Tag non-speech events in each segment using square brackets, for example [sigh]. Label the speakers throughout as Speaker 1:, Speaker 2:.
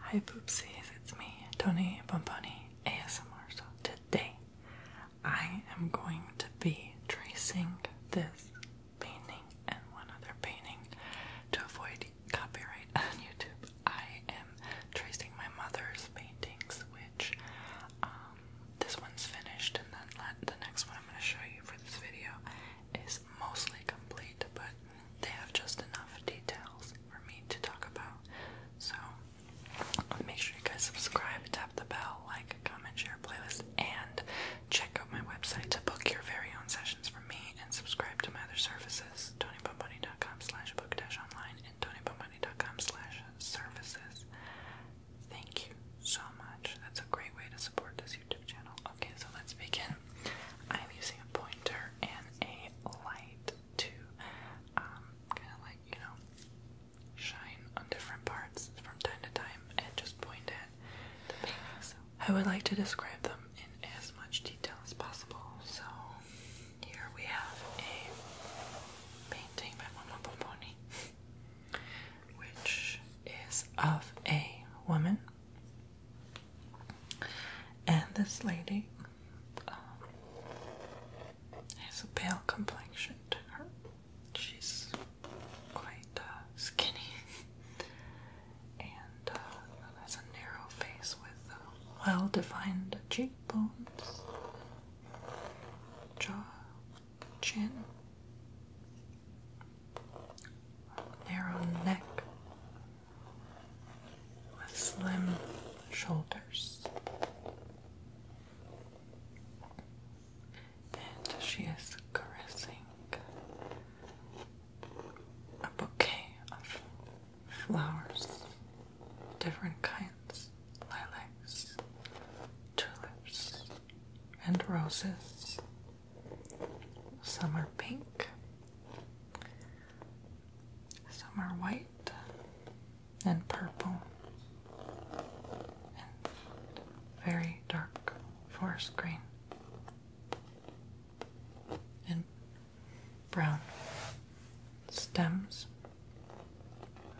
Speaker 1: Hi poopsies, it's me, Tony Bumponi ASMR. So today I am going to be tracing this painting and one other painting to avoid copyright [laughs] on YouTube. I am tracing my mother's paintings, which um, this one's finished, and then the next one I'm going to show you for this video is mostly complete, but they have just enough details for me to talk about. So make sure you guys subscribe, tap the bell, like, comment, share, playlist, and check out my website to book your very own sessions from me and subscribe to my other services, tonybomboni.com book online and tonybomboni.com services. Thank you so much. That's a great way to support this YouTube channel. Okay, so let's begin. I'm using a pointer and a light to um, kind of like, you know, shine on different parts from time to time and just point at the paintings. I would like to describe them in as much detail as possible. So here we have a painting by Mama Pomponi which is of a woman. And this lady um, has a pale complexion to her. She's quite uh, skinny, [laughs] and uh, has a narrow face with uh, well defined cheekbones, jaw, chin, narrow neck with slim shoulders. And she is caressing a bouquet of flowers, different kinds lilacs, tulips, and roses. Some are pink. Some are white and purple and very dark forest green and brown stems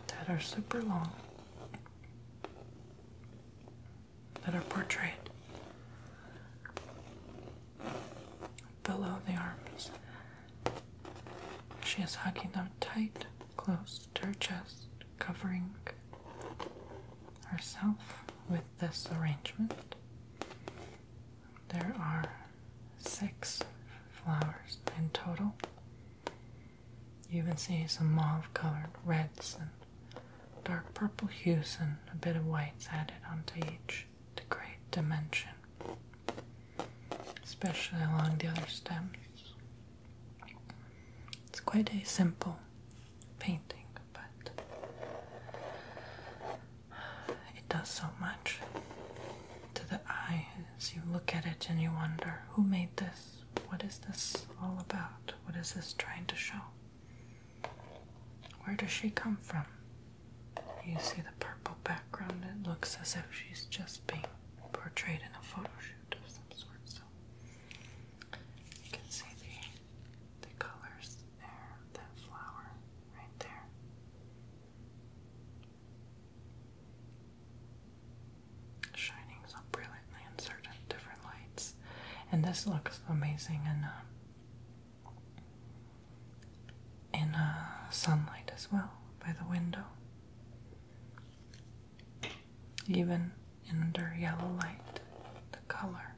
Speaker 1: that are super long that are portrayed below the arms. She is hugging them tight, close to her chest, covering herself with this arrangement. There are six flowers in total. You even see some mauve colored reds and dark purple hues and a bit of whites added onto each to create dimension, especially along the other stems. It's quite a simple painting, but it does so much to the eye as you look at it and you wonder who made this? What is this all about? What is this trying to show? Where does she come from? You see the purple background, it looks as if she's just being portrayed in a photo shoot of some sort. So you can see the, the colors there, that flower right there shining so brilliantly in certain different lights. And this looks amazing in uh, in uh, sunlight as well by the window, even under yellow light. The color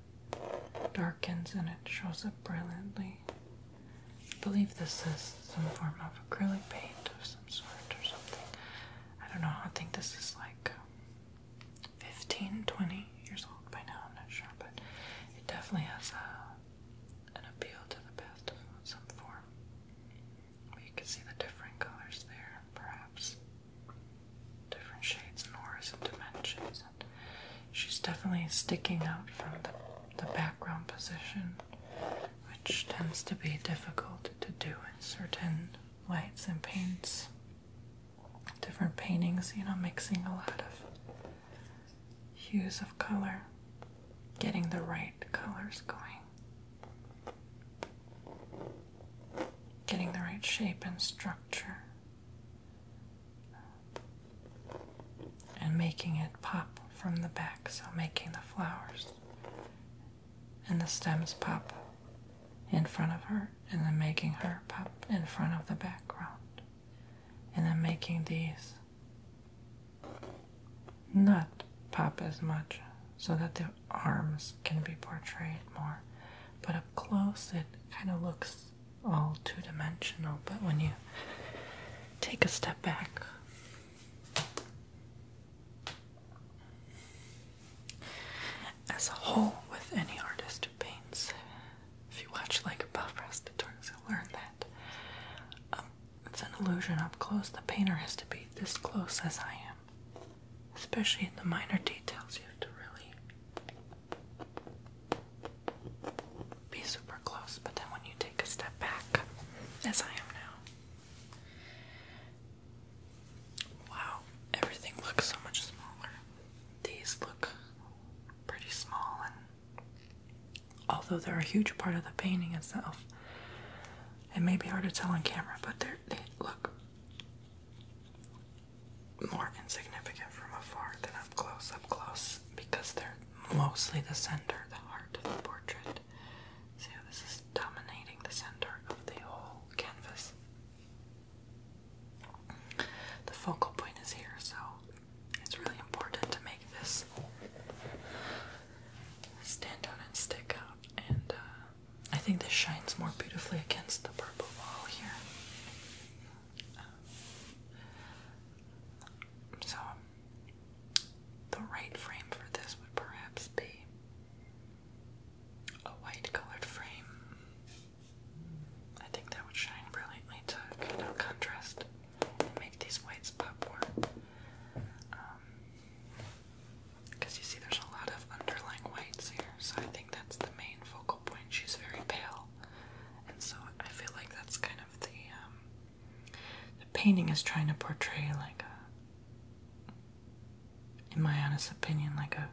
Speaker 1: darkens and it shows up brilliantly. I believe this is some form of acrylic paint of some sort or something. I don't know. I think this is like 15, 20 years old by now, I'm not sure, but it definitely has a, uh, an appeal to the past in some form. You can see the different colors there, perhaps different shades and and dimensions. And she's definitely sticking out from the, the background position, which tends to be difficult to do in certain lights and paints, different paintings, you know, mixing a lot of hues of color, getting the right colors going, getting the right shape and structure, and making it pop from the back, so making the flowers and the stems pop in front of her, and then making her pop in front of the background, and then making these not pop as much so that the arms can be portrayed more. But up close, it kind of looks all two dimensional, but when you take a step back, as a whole, with any artist who paints, if you watch like above Restators, you'll learn that um, it's an illusion up close. The painter has to be this close as I am. Especially in the minor details, you have to really be super close. But then when you take a step back, as I am now, Wow, everything looks so much smaller. These look pretty small, and although they're a huge part of the painting itself, it may be hard to tell on camera, but they look more insignificant from afar than up close, up close, because they're mostly the center, the heart of the portrait side. See how this is dominating the center of the whole canvas. The focal point is here, so it's really important to make this stand out and stick out. And uh, I think this shines more beautifully against the purple wall here. Um, so, the right frame for this would perhaps be a white colored frame. I think that would shine brilliantly to contrast make these whites pop more. Because um, you see, there's a lot of underlying whites here, so I think that's the main focal point. She's very pale, and so I feel like that's kind of the um, the painting is trying to portray like a in my honest opinion, like a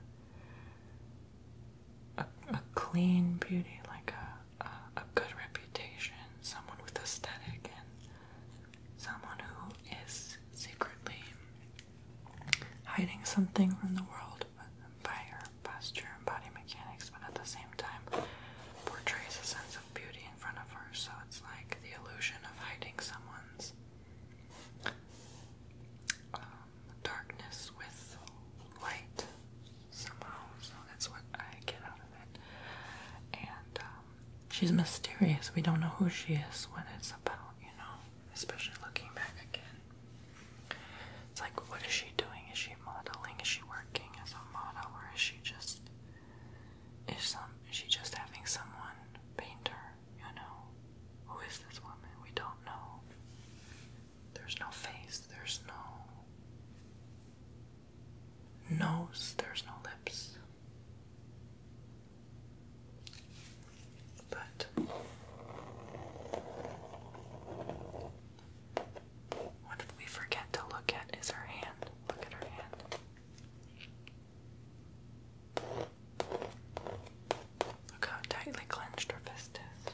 Speaker 1: a, clean beauty, like a, a a good reputation, someone with aesthetic, and someone who is secretly hiding something from the world by her posture and body mechanics, but at the same time portrays a sense of beauty in front of her. So it's like the illusion of hiding someone um, darkness with light, somehow, so that's what I get out of it. And um, she's mysterious. We don't know who she is, what it's about, you know, especially looking back again. It's like, what is she doing? Is she modeling? Is she working as a model? Or is she just is some is she just having someone paint her, you know? Who is this woman? We don't know. There's no face, there's no nose, there's no lips. But what we forget to look at is her hand. Look at her hand. Look how tightly clenched her fist is.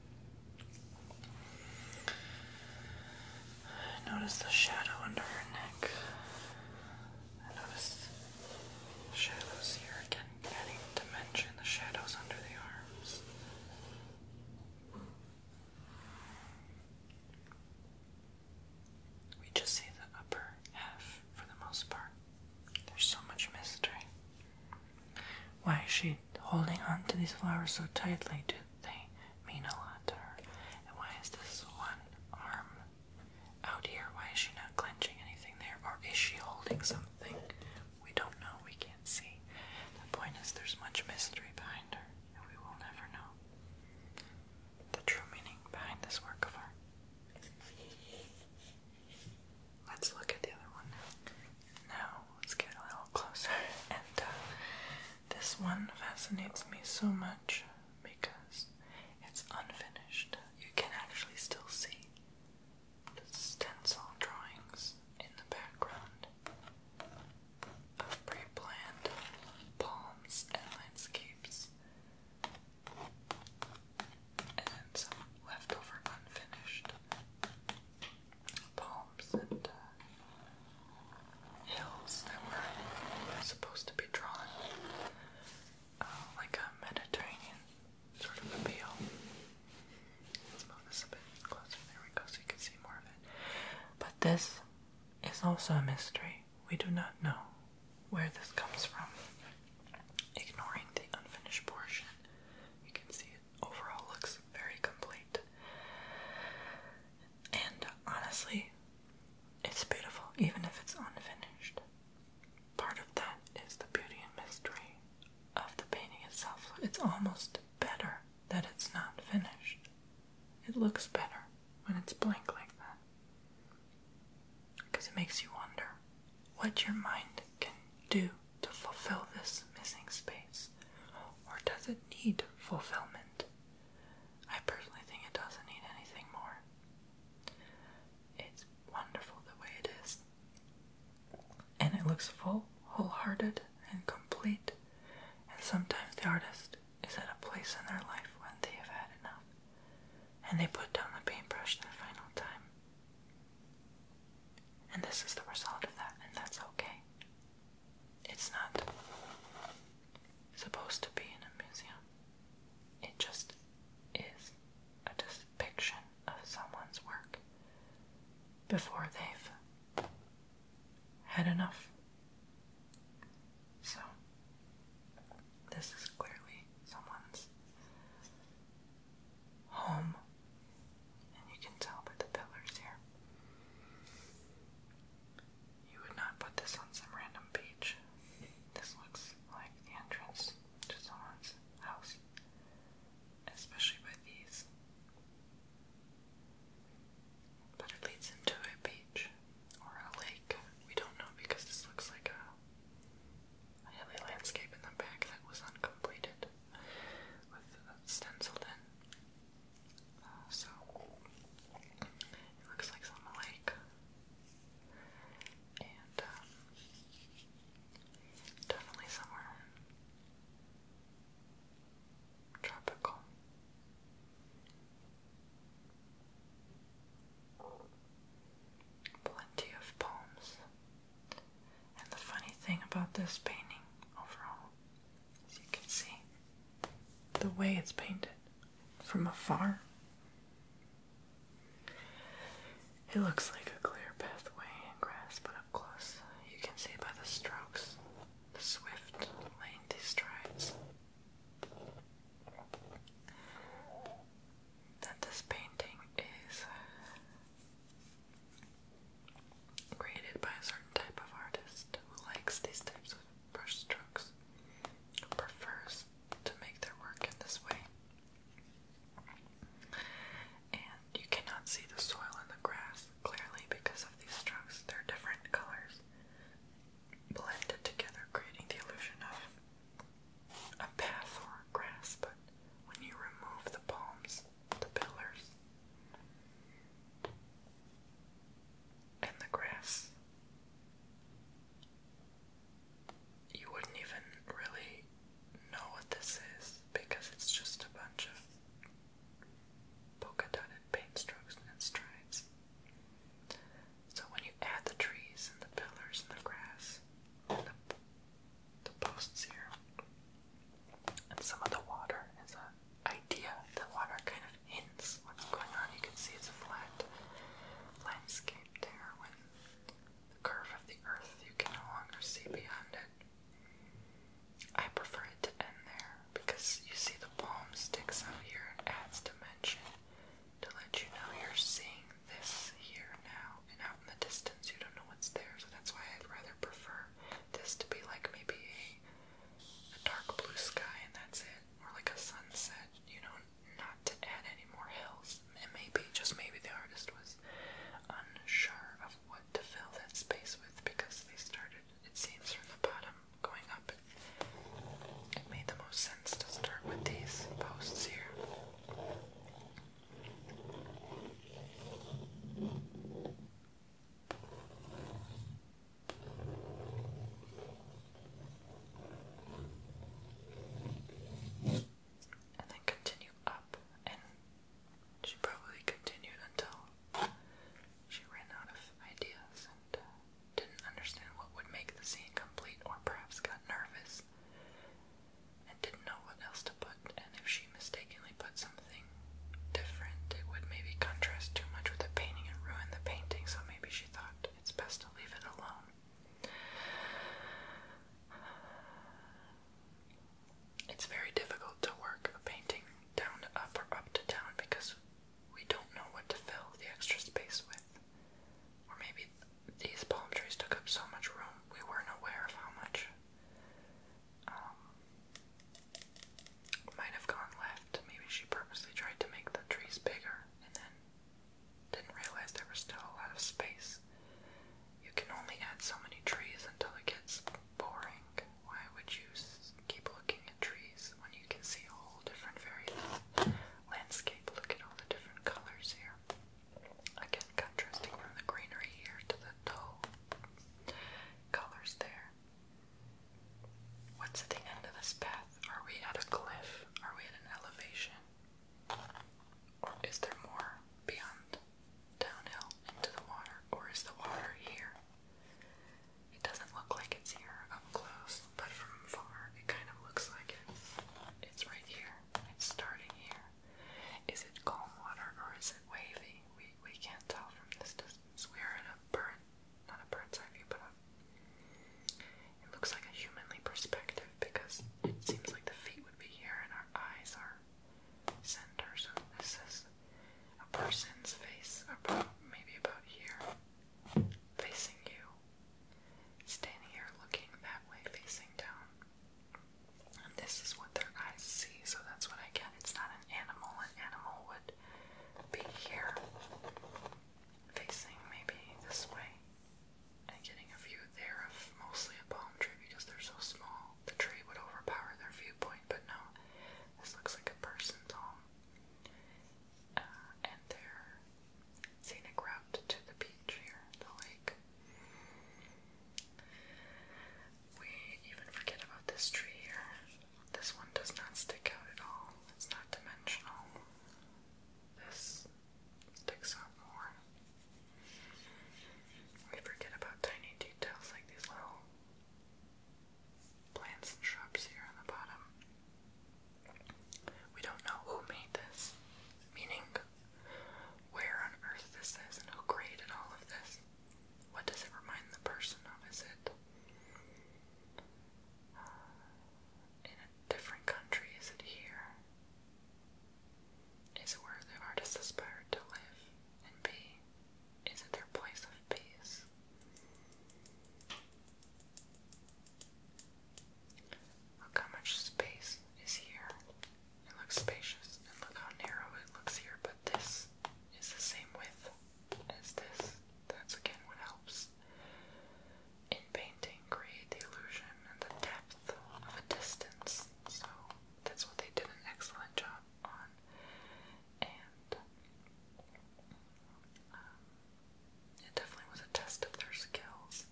Speaker 1: I notice the shadow under her neck. I notice shadows here again, adding dimension, the shadows under the arms. We just see the upper half for the most part. There's so much mystery. Why she holding on to these flowers so tightly? Do they mean a lot to her? And why is this one arm out here? Why is she not clenching anything there? Or is she holding something? We don't know. We can't see. The point is, there's much mystery behind her, and we will never know the true meaning behind this work of art. Let's look at the other one now. Now, let's get a little closer. And uh, this one fascinates me so much because it's unfinished. You can actually still see the stencil drawings in the background of pre planned palms and landscapes. And some leftover unfinished palms and uh, hills that were supposed to be drawn uh, like a Mediterranean sort of appeal. Let's move this a bit closer. There we go, so you can see more of it. But this is also a mystery. We do not know where this comes from. Ignoring the unfinished portion, you can see overall looks very complete. And honestly, it's beautiful, even if it's unfinished. Part of that is the beauty and mystery of the painting itself. It's almost better that it's not finished. It looks better when it's blank like that. Because it makes you wonder what your mind can do to fulfill this missing space? Or does it need fulfillment? I personally think it doesn't need anything more. It's wonderful the way it is. And it looks full, wholehearted, and complete. And sometimes the artist is at a place in their life when they have had enough. And they put down the paintbrush the final time. And this is the result of that, and that's okay. It's not supposed to be in a museum, it just is a depiction of someone's work before they've had enough. So, this is clearly someone's home and you can tell by the pillars here. You would not put this on some random beach. This looks like the entrance to someone's house, especially by these. But it leads into a beach or a lake. We don't know because this looks like a I had landscape in the back that was uncompleted with stenciled in. Uh, so it looks like some lake. And um, definitely somewhere tropical. Plenty of palms. And the funny thing about this painting overall as you can see the way it's painted from afar. It looks like a clear pathway and grass, but up close you can see by the strokes, the swift, lengthy strides that this painting is uh, created by a certain type of artist who likes these types of brush prefers to make their work in this way. And you cannot see the soil and the grass clearly because of these strokes. They're different colors blended together, creating the illusion of a path or grass, but when you remove the palms, the pillars, and the grass, you wouldn't even really know what this is because it's just a bunch of polka dotted paint strokes and stripes. So when you add the trees and the pillars and the grass the posts here. And some of the water is an idea. The water kind of hints what's going on. You can see it's a flat landscape there when the curve of the earth you can no longer see beyond it. I prefer it to end there because you see the palm sticks out here and adds dimension to let you know you're seeing this here now, and out in the distance you don't know what's there, so that's why I'd rather prefer this to be like maybe a, dark blue sky and that's it, or like a sunset, you know, not to add any more hills. And maybe, just maybe the artist was unsure of what to fill that space with because they started, it seems, from the bottom going up. It made the most sense to start with these posts here. And then continue up, and she probably continued until she ran out of ideas and uh, didn't understand what would make the scene complete, or perhaps got nervous and didn't know what else to put, and if she mistakenly put something different, it would maybe contrast too much with the painting and ruin the painting, so maybe she thought it's best to leave it alone. It's very difficult to work a painting down to up or up to down because we don't know what to fill the extra space with. Or maybe these palm trees took up so much room we weren't aware of how much um, might have gone left. Maybe she purposely tried to make the trees bigger and then didn't realize there was still a lot of space. You can only add so many trees until it gets boring. Why would you keep looking at trees when you can see a whole different, very uh, landscape? Look at all the different colors here. Again, contrasting from the greenery here to the dull colors there. What's at the end of this path? Are we at a cliff? Are we at an elevation? Or is there more beyond downhill into the water? Or is the water here? It doesn't look like it's here up close, but from far it kind of looks like it's, it's right here. It's starting here. Is it calm water or is it wavy? We we can't tell from this distance. We are in a bird, not a bird's eye view, but a, it looks like a humanly perspective because it seems like the feet would be here and our eyes are center. So this is a person's face, about maybe about here, facing you. Standing here looking that way, facing down. And this is what their eyes see, so that's what I get. It's not an animal. An animal would be here, facing maybe this way, and getting a view there of mostly a palm tree because they're so small. The tree would overpower their viewpoint, but no, this looks like a person's home. Uh, and they're scenic route to the beach here, the lake. We even forget about this tree here. This one does not stick out at all. It's not dimensional. This sticks out more. We forget about tiny details like these little plants and shrubs here on the bottom. We don't know who made this, meaning where on earth this is and who created all of this. What does it remind the person of? Is it uh, in a different country? Is it here? Is it where the artist aspired to live and be? Is it their place of peace? Look how much space is here. It looks spacious, and look how narrow it looks here, but this is the same width as this. That's again what helps in painting create the illusion and the depth of a distance. So that's what they did an excellent job on. And um, it definitely was a test of their skills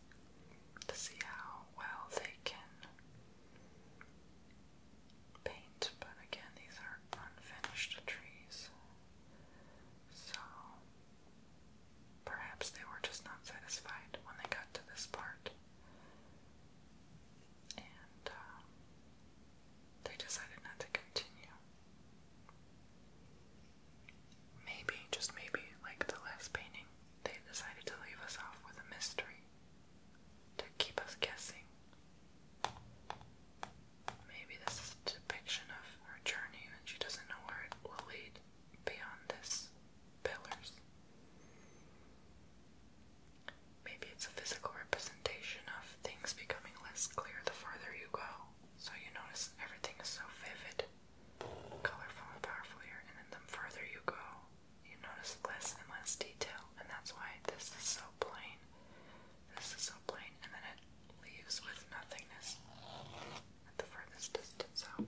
Speaker 1: to see how well they can paint, but again, these are unfinished trees, so perhaps they were just not satisfied when they got to this part. And uh, they decided not to continue. Maybe, just maybe, like the last painting, they decided to leave us off with a mystery to keep us guessing. Maybe this is a depiction of her journey and she doesn't know where it will lead beyond this pillars. Maybe it's a physical representation of things becoming less clear the farther you go, so you notice everything is so vivid colorful and powerful here, and then the further you go, you notice less and less detail, and that's why this is so plain. This is so plain, and then it leaves with nothingness at the furthest distance out.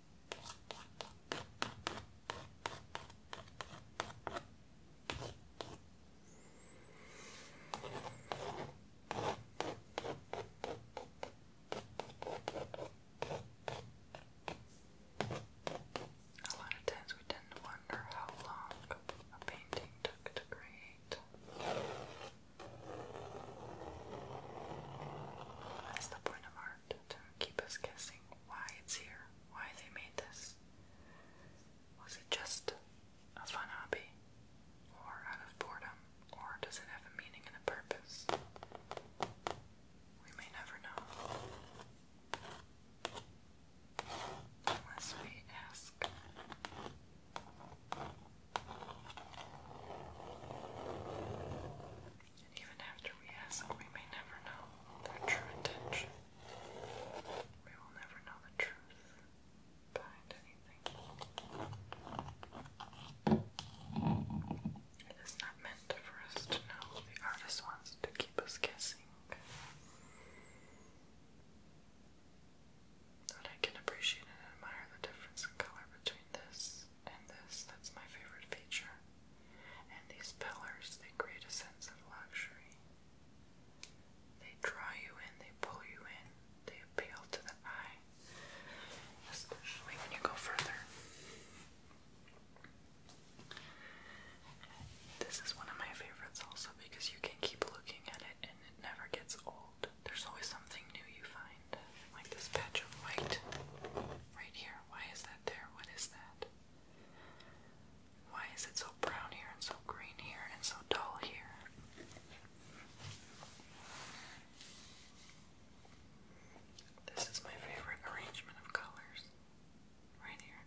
Speaker 1: A lot of times we tend to wonder how long a painting took to create. That's the point of art, to keep us guessing why it's here, why they made this. Was it just a fun hobby, or out of boredom, or does it have a meaning and a purpose? We may never know. Unless we ask. And even after we ask, we may never know their true intention. We will never know the truth behind anything. It is not meant for us to know. The artist wants to keep us guessing. But I can appreciate and admire the difference in color between this and this, that's my favorite feature. And these pillars, they create a sense of luxury. They draw you in, they pull you in, they appeal to the eye, especially when you go further. This is one of my favorites also because you can keep looking at it and it never gets old. There's always something new you find, like this patch of white right here. Why is that? there? What is that? Why is it so brown here and so green here and so dull here? This is my favorite arrangement of colors. Right here.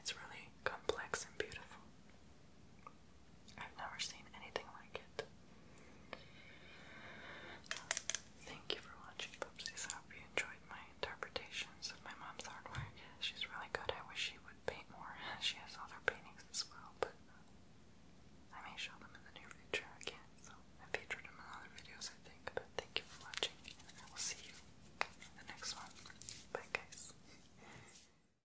Speaker 1: It's really complex and beautiful. I've never seen anything like it. Thank you for watching, Poopsies. I hope you enjoyed my interpretations of my mom's artwork. She's really good. I wish she would paint more. [laughs] She has other paintings as well, I may show them in the near future again. So I featured them in other videos, I think. But thank you for watching, and I will see you in the next one. Bye, guys.